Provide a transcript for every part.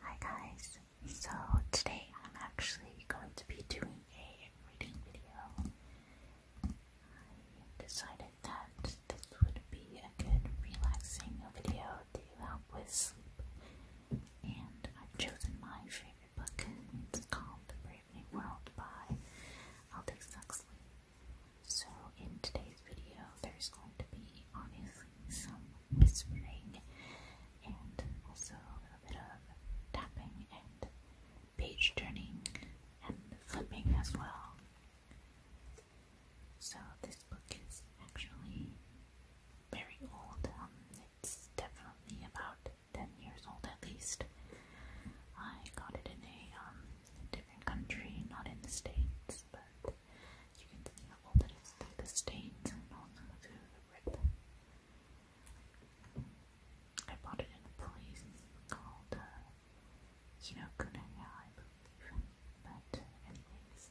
Hi guys, so today I'm actually going to be doing a reading video. I decided that this would be a good relaxing video to help with sleep. And I've chosen my favorite book. It's called The Brave New World by Aldous Huxley. So in today's video there's going to be obviously some whispering and also a little bit of tapping and page turning and flipping as well. So this book is actually very old. Um, it's definitely about 10 years old at least. I got it in a um, different country, not in the States this, you can see how the stains and also the rip. I bought it in a place called uh, Hinokunaya, I But, anyways,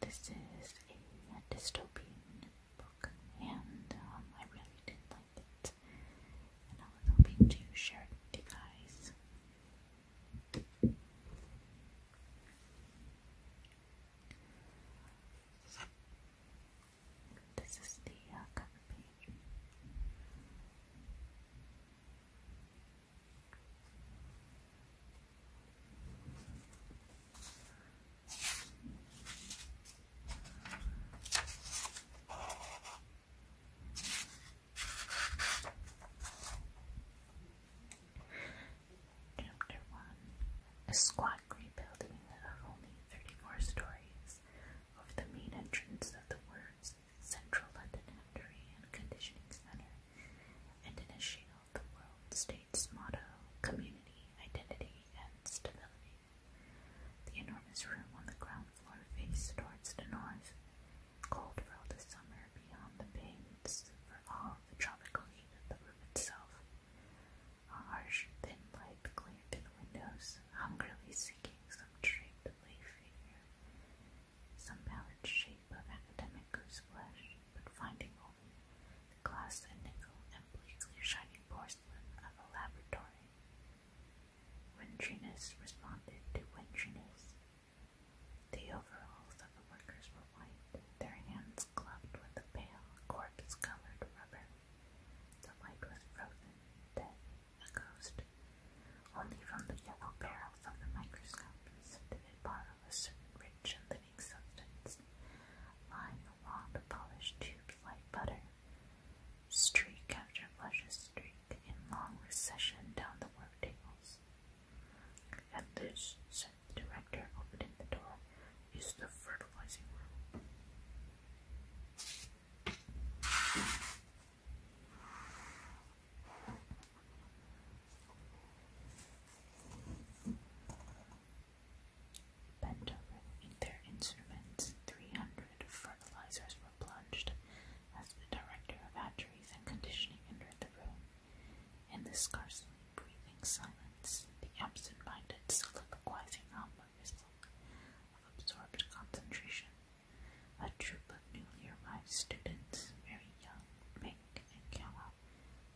this is a dystopian book, and um, I really did not like it. And I was hoping to share it with you guys. This is the uh, page. Chapter 1 A squat grey building of only 34 stories over the main entrance of the words Central London Factory and Conditioning Centre, and in a shield the world state's motto Community, Identity, and Stability. The enormous room on the ground floor faced towards the north Cold fell this summer beyond the pains for all the tropical heat of the room itself. A harsh, thin light glared through the windows, hungrily seeking some draped lay figure, some pallid shape of academic goose flesh, but finding only the glass and nickel and bleakly shining porcelain of a laboratory. Wintryness responded to wintryness. The overalls of the workers were white, their hands gloved with a pale, corpse-colored rubber. The light was frozen, dead, a ghost. Only from the yellow barrels of the microscopes did it borrow a certain rich and living substance, lying along the polished tubes like butter. Streak after luscious streak in long recession down the worktables. And this, said the director, opening the door, is the fertilizing room. Bent over in their instruments, 300 fertilizers were plunged as the director and conditioning entered the room. In the scarcely breathing silence, the absent minded soliloquizing algorithm of absorbed concentration, a troop of newly arrived students, very young, Mink and Kala,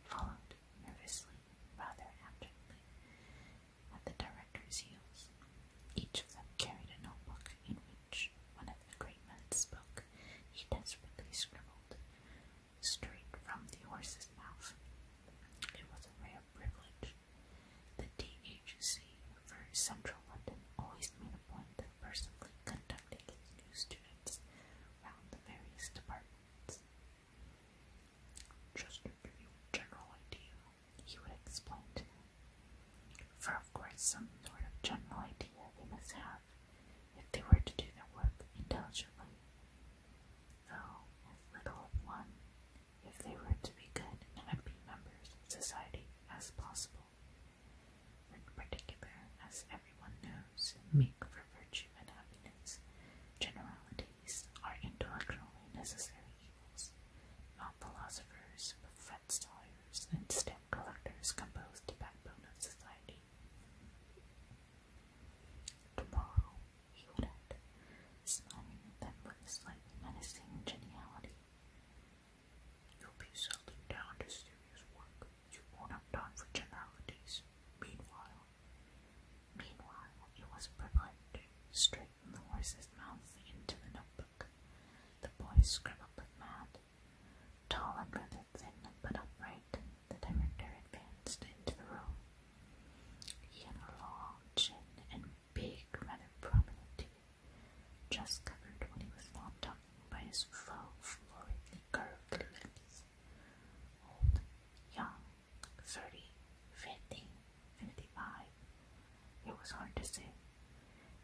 followed nervously, rather abjectly, at the director's heels. Each of them carried a notebook which, when the great man spoke, he desperately scribbled straight from the horse's mouth. It was a rare privilege. The DHC for central London always made a point of personally conducting its new students round the various departments. Just to give you a general idea, he would explain to them. For of course some sort of general idea they must have if they were to do their work intelligently, though as little of one if they were to be good and happy members of society as possible, in particular, as everyone knows, make for virtue and happiness generalities are intellectually necessary evils, not philosophers, but fret-sawyers and stab collectors compose the backbone of society. Tomorrow, he would add, smiling them with a slightly menacing geniality. You'll be settling down to serious work. You won't have time for generalities. Meanwhile, meanwhile, it was proclaimed straight from the horse's mouth into the notebook. The boy scribbled mad. Tall thin but upright, the director advanced into the room. He had a long chin and big, rather prominent teeth, just covered when he was not talking by his flow, floridly curved lips. Old, young, thirty, fifty, fifty-five. It was hard to say,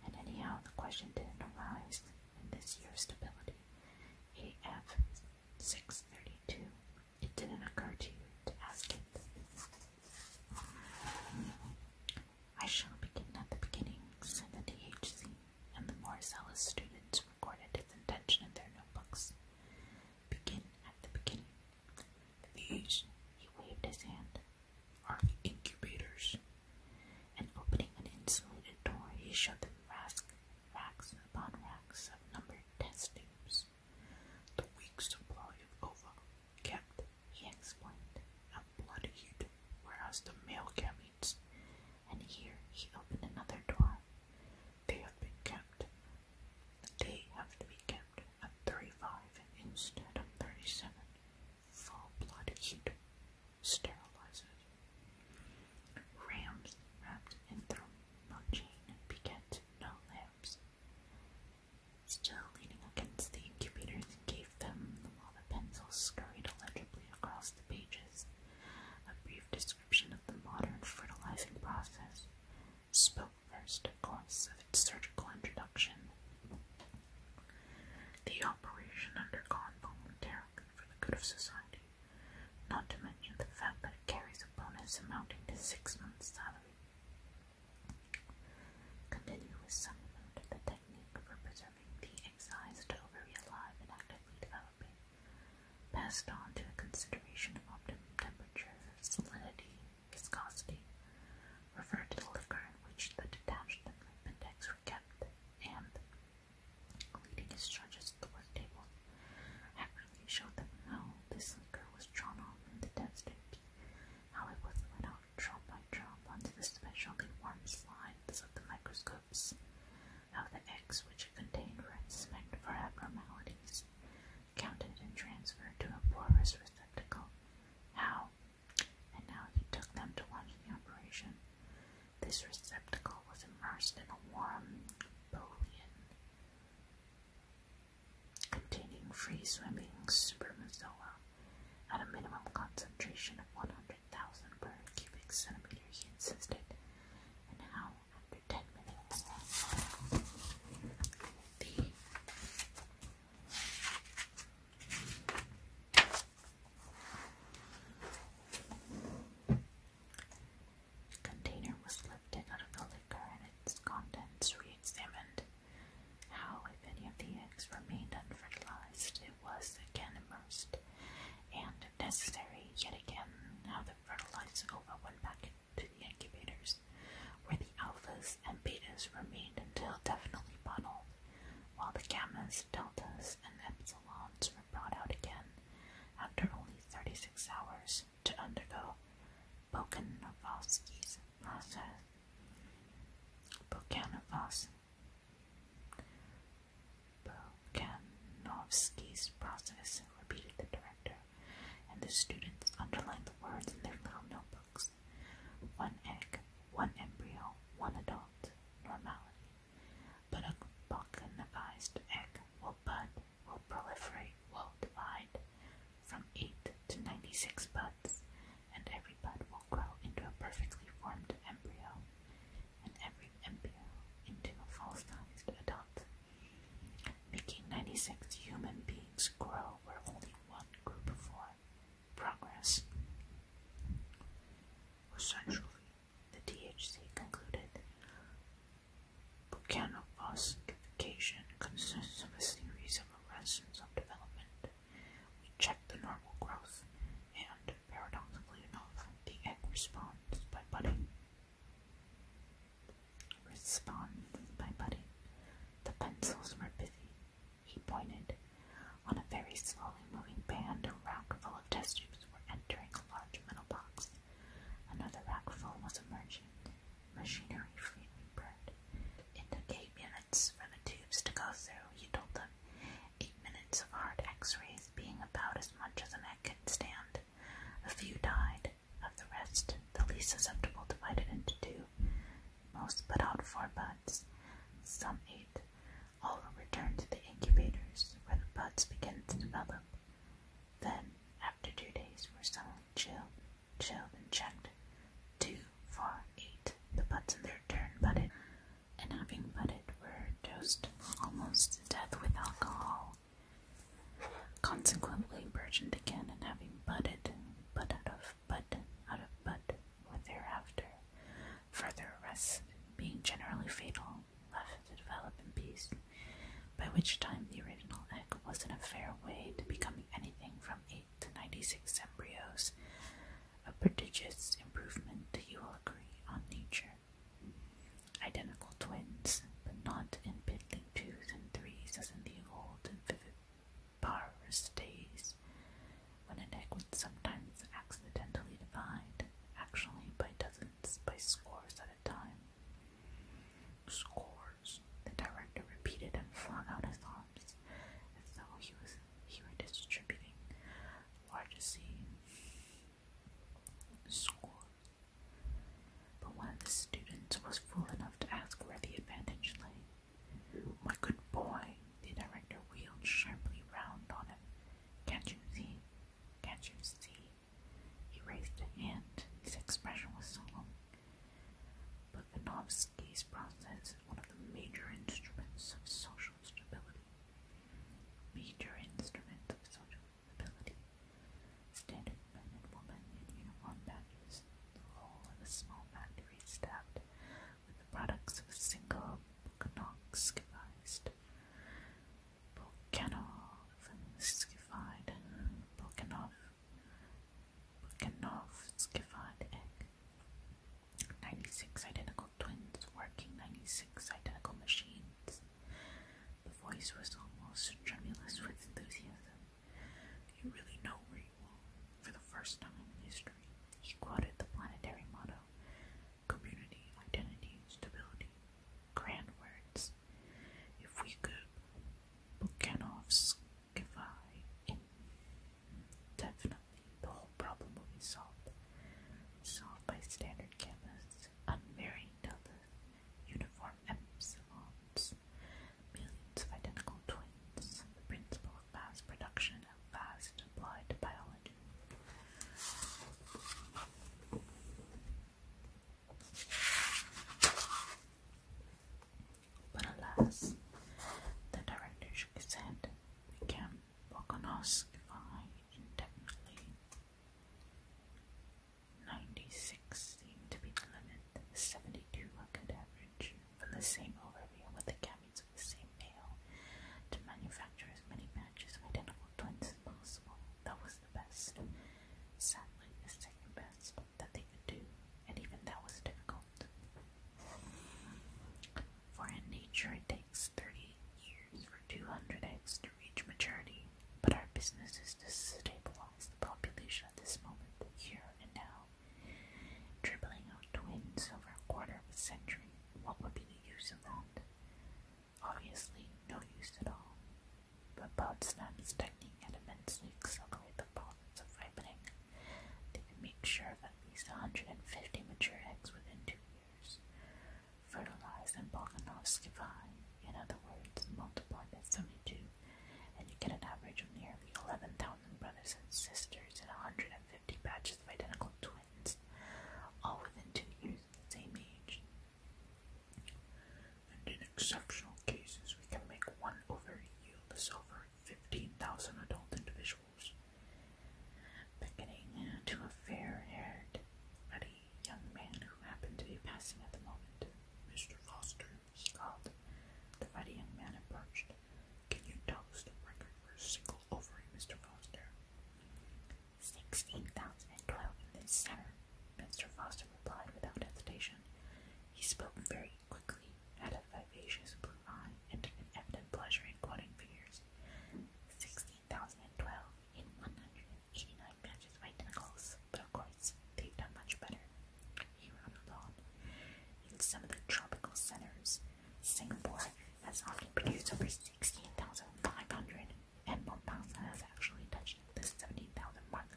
and anyhow, the question didn't arise in this year's stability. AF 632. It didn't occur to you to ask it. I shall begin at the beginning, said the DHC, and the more zealous students recorded its intention in their notebooks. Begin at the beginning. The DHC. he waved his hand, are the incubators and opening an insulated door, he showed them racks, racks upon racks of numbered test tubes. The week's supply of ova kept, he explained, a blood hued, whereas the male gametes. And here he opened another door. They have been kept. They have to be kept at thirty-five instead of thirty-seven. Full blood heat sterilizes. Rams wrapped in thermal chain no lambs. Still leaning against the incubators gave them, while the pencils scurried illegibly across the pages, a brief description of the modern fertilizing process. Spoke first, of its surgical introduction, the operation undergone voluntarily for the good of society, not to mention the fact that it carries a bonus amounting to six months' salary. Continuous supplement of the technique for preserving the excised ovary alive and actively developing, passed on to a consideration of optimum temperature, salinity, viscosity, referred to the liquor in which the detached and limp index were kept, and leading his charges to the work table. Hackerly showed them how this liquor was drawn off in the desert, how it was let out drop by drop onto the specially warm slides of the microscopes, how the eggs which it contained were inspected for abnormalities, counted and transferred to a porous receptacle, how, and now he took them to watch the operation. This receptacle was immersed in a warm bouillon containing free swimming spermatozoa at a minimum concentration of 100,000 per cubic centimeter, he insisted. And after 10 minutes, container was lifted out of the liquor and its contents re How, if any of the eggs remained unfertilized, it was again immersed, and, if necessary, yet again, how the fertilized ova went back to the incubators, where the alphas and betas remained until definitely bottled, while the gammas deltas and epsilons were brought out again after only 36 hours to undergo Bokanovsky's process. Bokanovsky. process, repeated the director, and the students underlined the words in their little notebooks. One egg, one embryo, one adult, normality. But a balkanized egg will bud, will proliferate, will divide from 8 to 96 buds, and every bud will grow into a perfectly formed embryo, and every embryo into a full-sized adult, making 96 human beings grow where only one grew before. Progress. Essentially, the DHC concluded. Bucanophosification consists of a series of arrests of development. We check the normal growth, and paradoxically enough, the egg responds by budding. Responds by budding. The pencils were busy. He pointed. On a very slowly moving band, a rack full of test tubes were entering a large metal box. Another rack full was emerging. Machinery freely burned. Indicate minutes for the tubes to go through, he told them. Eight minutes of hard x-rays being about as much as a man can stand. A few died. Of the rest, the least susceptible divided into two. Most put out four buds. Some ate all will return to the incubators where the buds begin to develop. Then, after two days were suddenly chilled, chilled and checked, two, four, eight, the buds in their turn budded, and having budded were dosed almost to death with alcohol. Consequently, burgeoned again, and having budded, bud out of bud, out of bud, were thereafter Further arrests, being generally fatal, left it to develop in peace, by which time the original egg was in a fair way to becoming anything from 8 to 96 embryos, a prodigious improvement, you will agree, on nature. Identical twins, but not in piddling twos and threes as in the old and vivid days, when an egg would sometimes accidentally divide, actually by dozens, by scores at a time. Scores, the director repeated and flung out his arms, as though he was he distributing largesse. Score. But one of the students was fool enough to ask where the advantage lay. My good boy, the director wheeled sharply round on him can't you see? Can't you see? He raised a hand. His expression was solemn. But Vinovsky's process is one of the major instruments of social stability. Major instruments of social stability. Standard men and women in uniform badges, the whole of a small factory staffed with the products of single Knox devised. Volkanov, skified, Volkanov, Volkanov, skified 96 identical twins working 96 identical machines. The voice was almost tremulous with enthusiasm. You really know where you are. For the first time in history, he quoted the planetary motto community, identity, stability. Grand words. If we could Bukanovskify it, definitely the whole problem would be solved. Solved by standard chemists, unmarried deltas, uniform epsilons, millions of identical twins, the principle of mass production of fast applied biology. But alas, the director shook his head. We can't prognostify indefinitely. 96 seemed to be the limit, 72 a good average, from the same overview with the caveats of the same Pale to manufacture as many matches of identical twins as That was the best. second best that they could do, and even that was difficult. For in nature, it takes 30 years for 200 eggs to reach maturity, but our business is to stabilize the population at this moment, here and now. Dribbling out twins over a quarter of a century, what would be the use of that? Obviously, no use at all. But Podsnap's technique had immensely accelerated the process of ripening. They could make sure of at least 150 mature eggs within two years. fertilized and Balkanovsky vine, in other words, multiply by 72, and you get an average of nearly 11,000 brothers and sisters and 150 batches of identical twins, all within two years same age. And in exceptional cases, we can make one ovary yield as over 15,000 adult individuals, beckoning to a fair-haired, ruddy young man who happened to be passing at the moment. Mr. Foster, he called. The ruddy young man approached. Can you tell the record for a single ovary, Mr. Foster? Sixteen thousand and twelve in this center, Mr. Foster replied without hesitation. He spoke very quickly, had a vivacious blue eye, and an evident pleasure in quoting figures. Sixteen thousand and twelve in one hundred and eighty-nine matches by Nichols, but of course they've done much better. here on the lawn. In some of the tropical centers, Singapore has often produced over 16,500 and Mombasa has actually touched the 17,000 mark.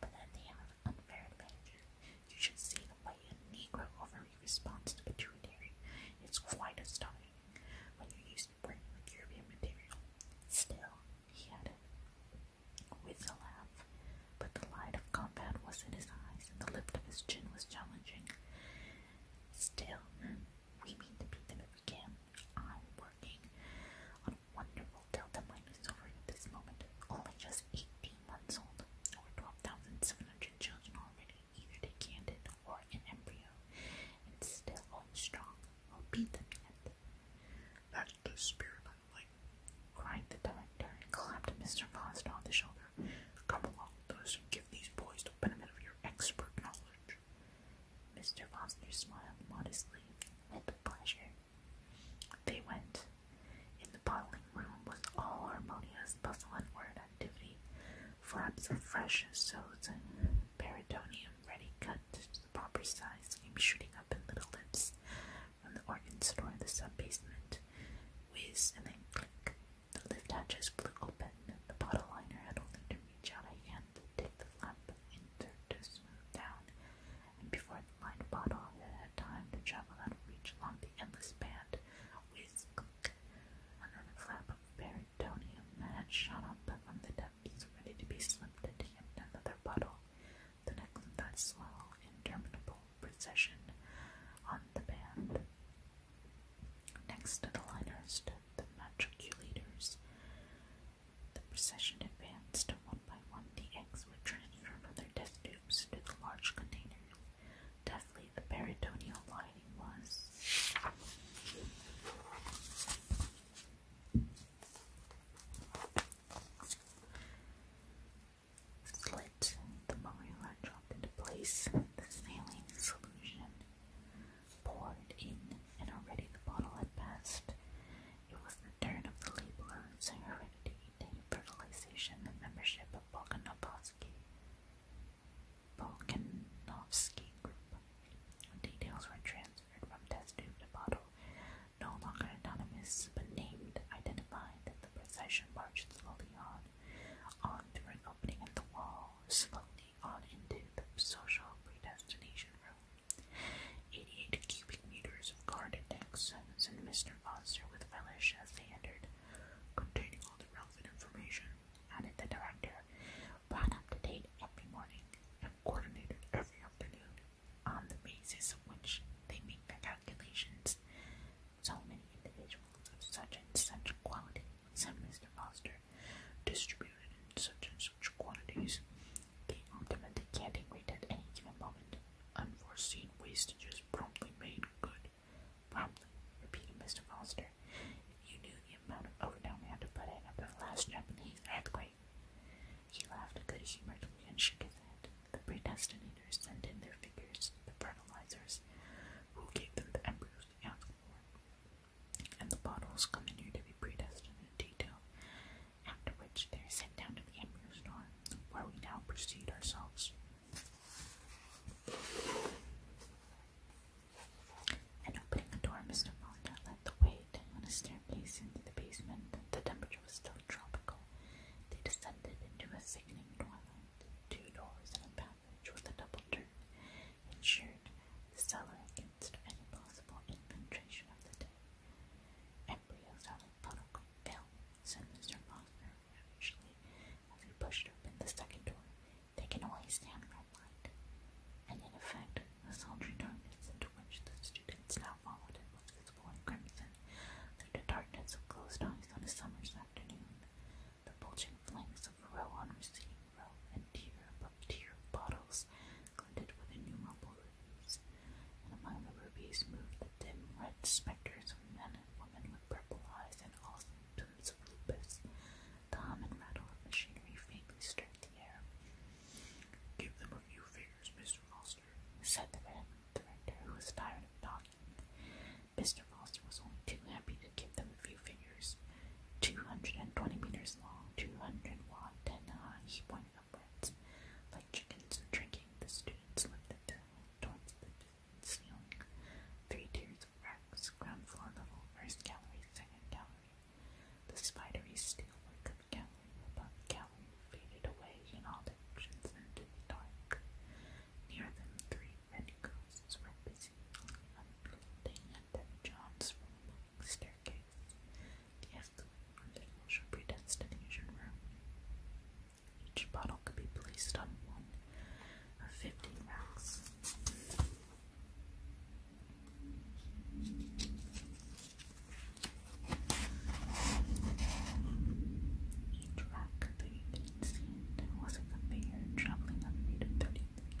But then they have unfair advantages. You should see the way a Negro ovary responds to pituitary. It's quite astonishing when you use it with European material. Still, he added, with a laugh, but the light of combat was in his eyes and the lift of his chin was challenging. Still, we mean to beat them if we can. I'm working on a wonderful Delta Minus over at this moment. Only just 18 months old. Over 12,700 children already, either decanded or in embryo. And still all strong. We'll beat them yet. That's the spirit I like, cried the director and clapped Mr. Foster on the shoulder. Come along with us and give these boys the benefit of your expert knowledge. Mr. Foster smiled modestly at the pleasure. They went. In the bottling room was all harmonious bustle and word activity, flaps of fresh sods and peridonium ready cut to the proper size came shooting up in little lips from the organ store in the sub basement, whiz and then click. The lift hatch hatches flew open. The bottle liner had only to reach out a hand to take the flap insert to smooth down, and before the lined bottle had time to travel out reach along the endless band, whisk click, another flap of peritoneum had shot up from the depths, ready to be slipped into yet another bottle. The next in that slow, interminable procession on the band. Next to the liners stood the matriculators. The procession advanced, and one by one the eggs were transferred from their death tubes into the large containers. Deftly, the peritoneal lining was slit. The marula dropped into place. The saline solution poured in, and already the bottle had passed. It was the turn of the labelers, heredity, fertilization, and membership of Volkanovsky. Volkanovsky Group. Details were transferred from test tube to bottle, no longer anonymous, but named, identified the procession marched slowly on, on through an opening in the wall, slowly on into the social predestination room. Eighty-eight cubic meters of guarded accents and Mr. Foster with relish as they containing all the relevant information, added the director, brought up to date every morning and coordinated every afternoon, on the basis of which they make their calculations. So many individuals of such and such quality some, Mr. Foster, distributed in such and such quantities. The ultimate decanting rate at any given moment. Unforeseen wastages promptly made good. Promptly, repeated Mr. Foster. you knew the amount of overtime we had to put in after the last Japanese earthquake. He laughed good humouredly and shook his head. The predestinators sent in their figures, the fertilizers, who gave them the embryos to ask for and the bottles come here to be predestined in detail, after which they are sent down to the Emperor's store, where we now proceed ourselves. And opening the door, Mr. Fonda led the way down into the basement. The temperature was still tropical. They descended into a sickening twilight. Two doors and a path coverage with a double turn ensured the cellar against any possible infiltration of the day. Embryos of protocol said Mr. Foster ravishly as he pushed open the second door. They can only stand red light. And in effect, the sultry darkness into which the students now followed him was visible crimson, through the darkness of closed eyes on a summer's afternoon. The bulging flanks of row on receding row and tier above tier of bottles glinted with innumerable rubies, and among the rubies moved the dim red specters of men and women with purple eyes and all symptoms of lupus. The hum and rattle of machinery faintly stirred the air. Give them a few figures, Mr. Foster, said the man director, who was tired of talking. Mr. Foster was only too happy to give them a few figures. 220 meters long, 200 watts. and high, he pointed upwards. Like chickens drinking, the students lifted their hands towards the ceiling. Three tiers of racks, ground floor level, first gallery, second gallery. The spidery steelwork of gallery above gallery faded away in all directions into the dark. Near them, three red ghosts were busy unfolding the John's staircase, the from the social predestination room. Each bottle could be placed on one of fifty racks. Each rack that you could see was a conveyor traveling at a rate of thirty-three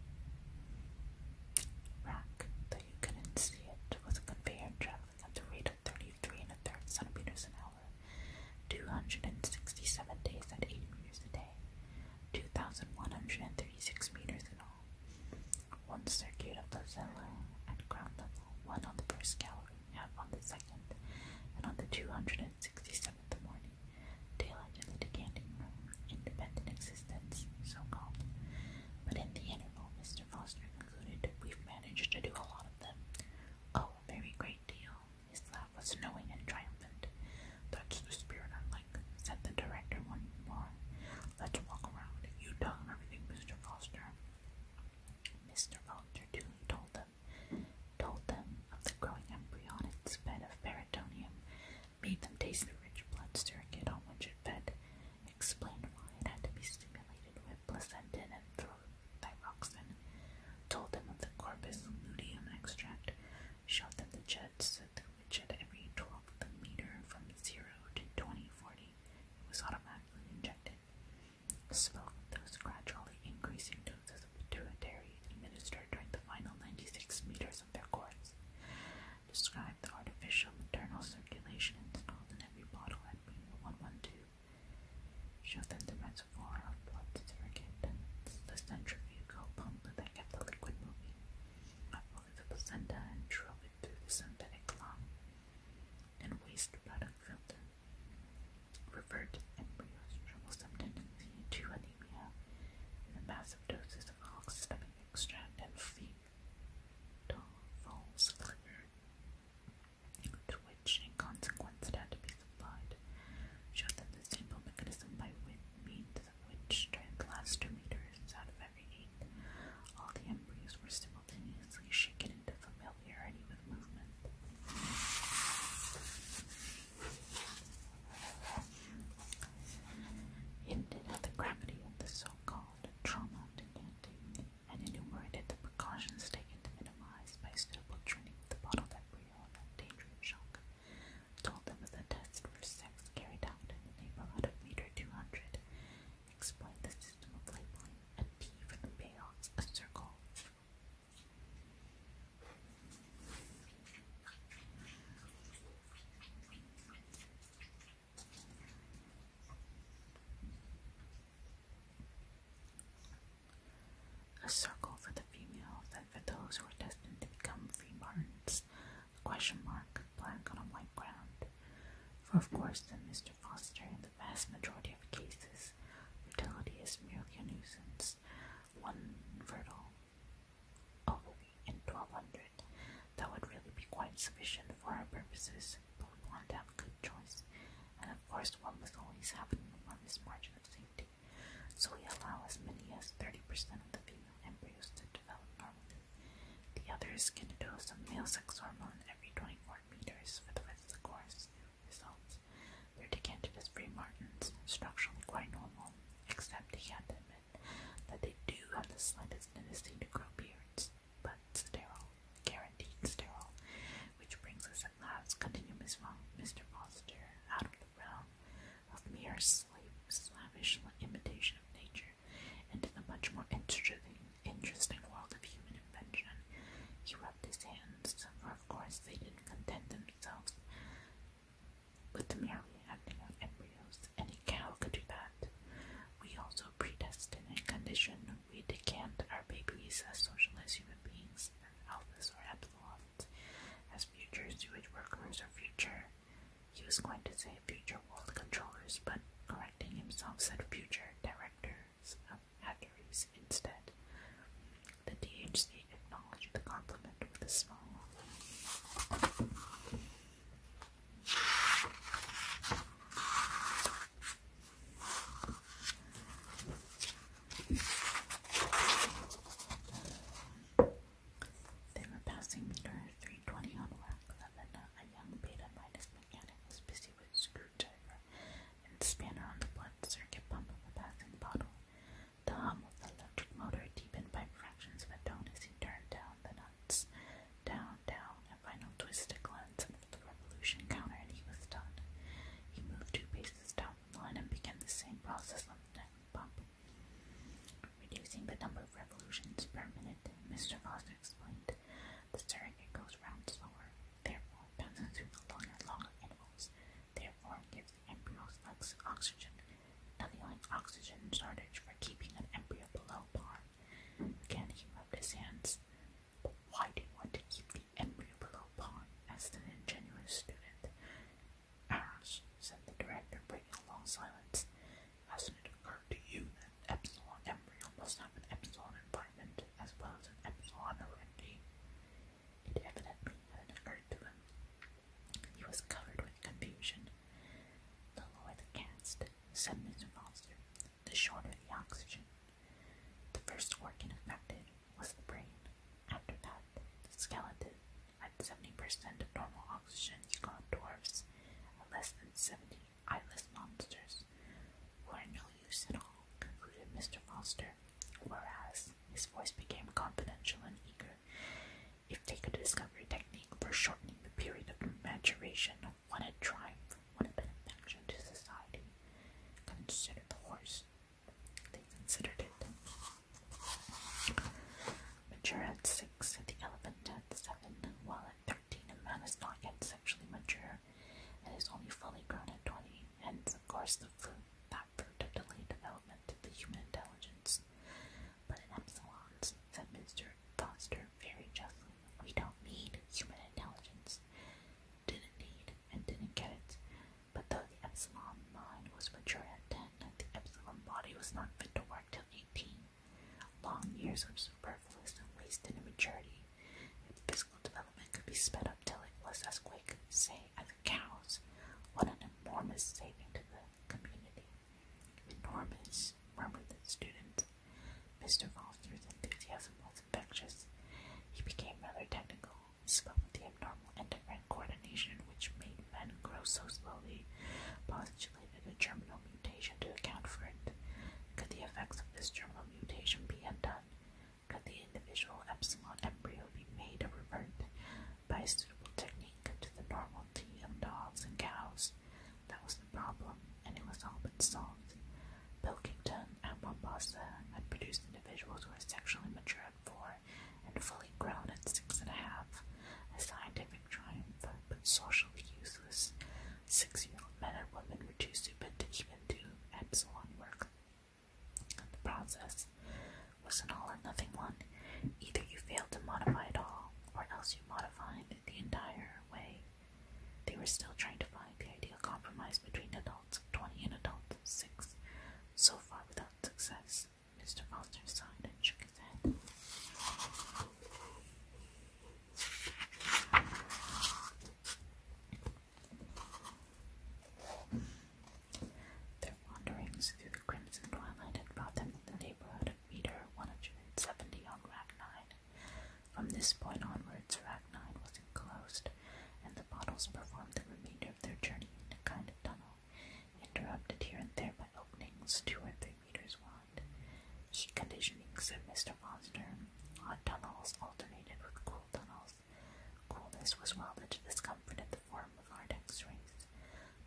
Rack, though you couldn't see it, was a conveyor traveling at the rate of thirty-three and a third centimeters an hour, two hundred and sixty-seven days at eight meters a day, two thousand one hundred and thirty-six meters in all. One circuit of the cellar at ground level, one on the first gallery, half on the second, and on the two hundred and sixty-seventh morning. Daylight in the decanting room, independent existence, so called. But in the interval, Mr. Foster concluded, we've managed to do a lot of them. Oh, a very great deal. His laugh was knowing and triumphant. That's the spirit I like, said the director one more. Let's walk around. You tell him everything, Mr. Foster. Mr. Foster duly told them, told them of the growing embryonic bed of peritoneum made them taste the rich blood circuit on which it fed, explained why it had to be stimulated with placentin and thyroxin, told them of the corpus luteum extract, showed them the jets through which at every twelfth meter from zero to twenty forty it was automatically injected, spoke of those gradually increasing doses of pituitary administered during the final ninety six meters of the artificial maternal circulation installed in every bottle at Beamer 112. Showed the reservoir of blood surrogate and the centrifugal pump that kept the liquid moving, uprooted the placenta and drove it through the synthetic lung and waste product filter. Referred embryos troublesome tendency to anemia, and massive doses of oxystomach extract and fetal falls liquor, to which, in consequence, it had to be supplied, showed them the simple mechanism by means of which, during the last two meters out of every eight, all the embryos were simultaneously shaken into familiarity with movement. Hinted at the gravity of the so-called trauma to Dante and enumerated the precautions taken to minimize by suitable training the bottle that pre-owned that danger shock. Told them of the test for sex carried out in the neighborhood of meter 200. Explained the system of labeling, a T for the payoffs, a circle. A circle for the female, then for those who are destined to become free question mark, blank on a white ground. For of course, in Mr. Foster, in the vast majority of cases, fertility is merely a nuisance, one fertile away in 1200. That would really be quite sufficient for our purposes, we wanted to have a good choice, and of course, one must always happening on this margin of safety. So we allow as many as 30% of the female embryos to develop normally. The others can do some male sex hormone every 24 meters for the rest of the course. Results. Their decanted as free margins, structurally quite normal, except he had them, admit that they do have the slightest tendency to grow beards, but sterile, guaranteed sterile, which brings us at last, continued Mr. Foster, out of the realm of mere slave, slavish imitation of nature and in the much more interesting, interesting world of human invention. He rubbed his hands, for of course they didn't content themselves with the merely acting out embryos. Any cow could do that. We also predestined and condition. We decant our babies as socialized human beings and alphas or epsilons as future sewage workers or future. He was going to say future world controllers, but correcting himself said future directors of hatcheries instead. The DHC with a smile. They were passing meter 320 on Rack A young beta minus mechanic was busy with screwdriver and spanner on the blunt circuit pump of a passing bottle. The hum of the electric motor deepened by fractions of a tone as he turned down the nuts. Down, down, a final twist, glance of the revolution counter, and he was done. He moved two paces down the line and began the same process on the next bump. Reducing the number of revolutions per minute, Mr. Foster explained, the surrogate goes round slower, therefore passes through the longer, longer intervals therefore gives embryos less oxygen, annealing oxygen shortage for keeping an embryo below par. Again, he rubbed his hands. But why do you want to keep the embryo below par? asked an ingenuous student. Ours, said the director, breaking a long silence. has it occurred to you that epsilon embryo must have an epsilon environment as well as an epsilon heredity? It evidently hadn't occurred to him. He was covered with confusion. The lower the cast, said Mr. Foster, the shorter the oxygen. The first organ affected was the brain. After that, the skeleton, at 70% of normal oxygen, you got dwarfs, less than 70 eyeless monsters, are no use at all, concluded Mr. Foster, whereas his voice became confidential and eager. If they could discover a technique for shortening the period of maturation of one had triumph, one had benefaction to society, consider the horse. They considered it. Mature at six, the elephant at seven, while at thirteen a man is not yet sexually mature and is only fully grown at twenty, hence of course the fruit that fruit of delay development the human intelligence. But in Epsilons, said Mr. Foster very justly, we don't need human intelligence. Didn't need and didn't get it. But though the Epsilon mind was mature at ten, the Epsilon body was not fit to work till eighteen. Long years of superfluous and wasted immaturity. Its physical development could be sped up till it was as quick, say, as the cow's. What an enormous saving to the community. Enormous, murmured the student. Mr. Foster's enthusiasm was infectious. He became rather technical, spoke with the abnormal endocrine coordination which made men grow so slowly, postulated a germinal mutation to account for it. Could the effects of this germinal mutation be undone? Could the individual epsilon embryo be made a revert? by a suitable technique to the normality of dogs and cows. That was the problem, and it was all but solved. Pilkington and Mombasa had produced individuals who were sexually mature at four and fully grown at six and a half, a scientific triumph, but socially useless. Six-year-old men and women were too stupid to even do epsilon work. The process was an all or nothing one. Either you failed to modify it all, or else you modified the entire way. They were still trying to find the ideal compromise between adults 20 and adults 6, so far without success. Mr. Foster sighed and shook his head. Their wanderings through the crimson twilight had brought them to the neighborhood of meter 170 on Rack 9. From this point onwards, Rack 9 was enclosed, and the bottles performed the remainder of their journey in a kind of tunnel, interrupted here and there by openings two or three meters wide. Heat conditioning, said Mr. Foster. Hot tunnels alternated with cool tunnels. Coolness was welded to discomfort at the form of Ardex rays.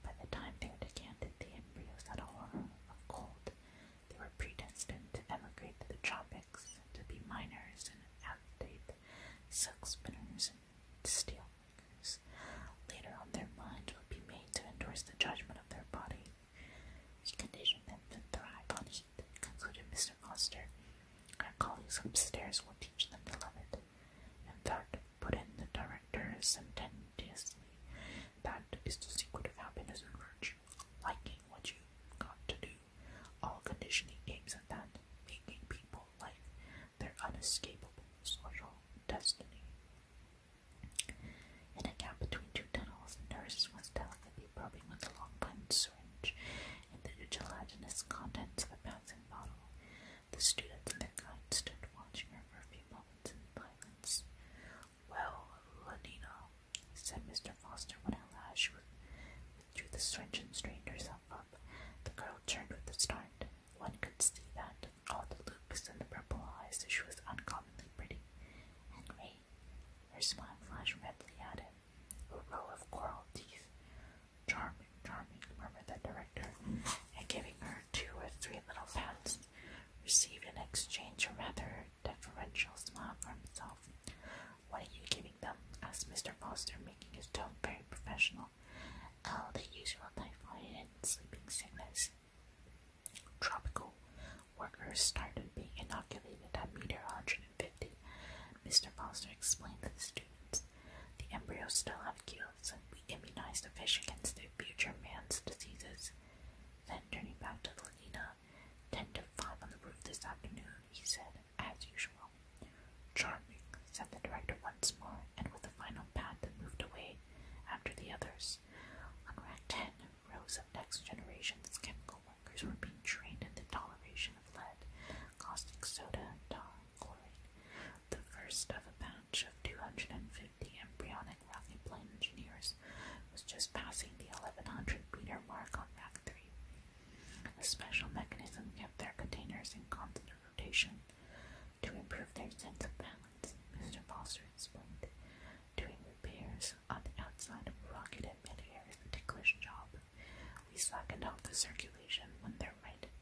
By the time they are decanted, the embryos had a horror of cold. They were predestined to emigrate to the tropics, to be miners and agitate silk spinners and steel makers. Later on, their mind would be made to endorse the judgment of their body. which condition them to thrive on heat, concluded Mr. Foster. Our colleagues upstairs will teach them to love it. And that, put in the director sententiously, that is the secret of happiness and virtue, liking what you have got to do. All conditioning aims at that, making people like their unescapable social destiny. In a gap between two tunnels, the nurse was delicately probing with a long blunt syringe in the gelatinous contents of a bouncing bottle. The students and their guide stood watching her for a few moments in silence. Well, Lenina, said Mr. Foster when at last she drew the switch and straightened herself up. The girl turned with a start. One could see that, all the looks and the purple eyes, she was uncommonly pretty. Henry, her smile flashed redly at him. A row of coral teeth. Charming, charming, murmured the director, and giving her two or three little pats, received in exchange a rather deferential smiles from himself. What are you giving them? asked Mr. Foster, making his tone very professional. Oh, the usual typhoid and sleeping sickness. Tropical workers started being inoculated at meter 150. Mr. Foster explained to the students. The embryos still have gills and we immunize the fish against their future man's diseases. Then, turning back to the Lena, ten to five on the roof this afternoon, he said, as usual. Charming, said the director once more, and with a final pat that moved away after the others. On rack 10, rows of next generation's chemical workers were being trained in the toleration of lead, caustic soda, tar, the first of a batch of 250 embryonic rocket plane engineers, was just passing the 1100 meter mark on Rack 3. A special mechanism kept their containers in constant rotation to improve their sense of balance, Mr. Foster explained. Doing repairs on the outside of a rocket in midair is a ticklish job. We slackened off the circulation when they're right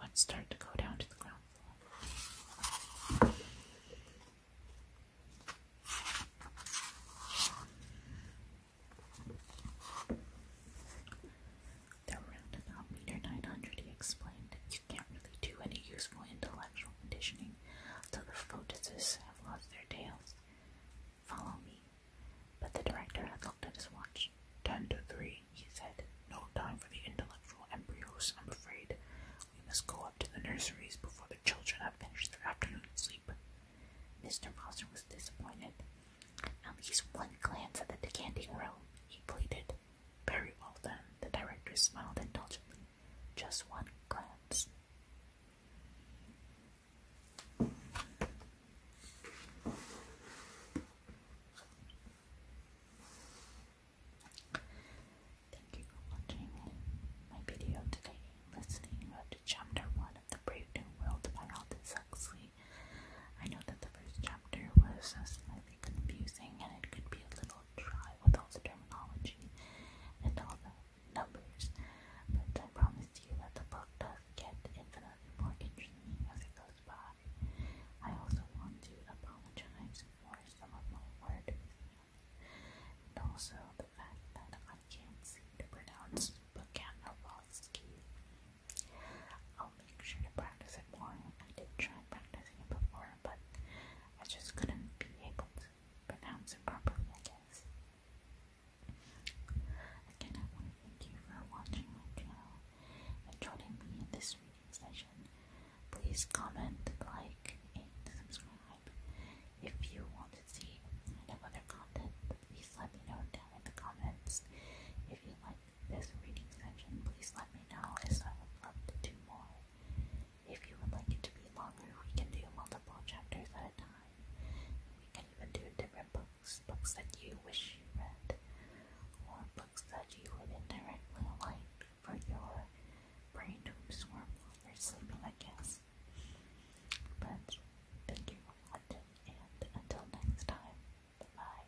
Let's start to go down to the ground floor. The roundabout meter 900, he explained, you can't really do any useful intellectual conditioning till the photises have lost their tails. Follow me. But the director had looked at his watch. Ten to three, he said. No time for the intellectual embryos, I'm afraid. We must go up to the nurseries before the children have finished their afternoon sleep. Mr. Foster was disappointed. At least one glance at the decanting room, he pleaded. Very well then, the director smiled indulgently. Just one glance. Thank you for watching my video today listening to chapter 1 of The Brave New World by Aldous Huxley. I know that the first chapter was slightly confusing and it could be a little dry with all the terminology and all the numbers, but I promise you that the book does get infinitely more interesting as it goes by. I also want to apologize for some of my words and also the fact that I can't seem to pronounce Bukanowski. I'll make sure to practice it more. I did try practicing it before, but I just couldn't be able to pronounce it properly, I guess. Again, I want to thank you for watching my channel and joining me in this session. Please comment, like, and subscribe. If you want to see kind of other content, please let me know down in the comments. If you like this reading section, please let me know as I would love to do more. If you would like it to be longer, we can do multiple chapters at a time. We can even do different books, books that you wish you read, or books that you would indirectly light for your brain to absorb while you're sleeping, I guess. But thank you for watching, and until next time, bye.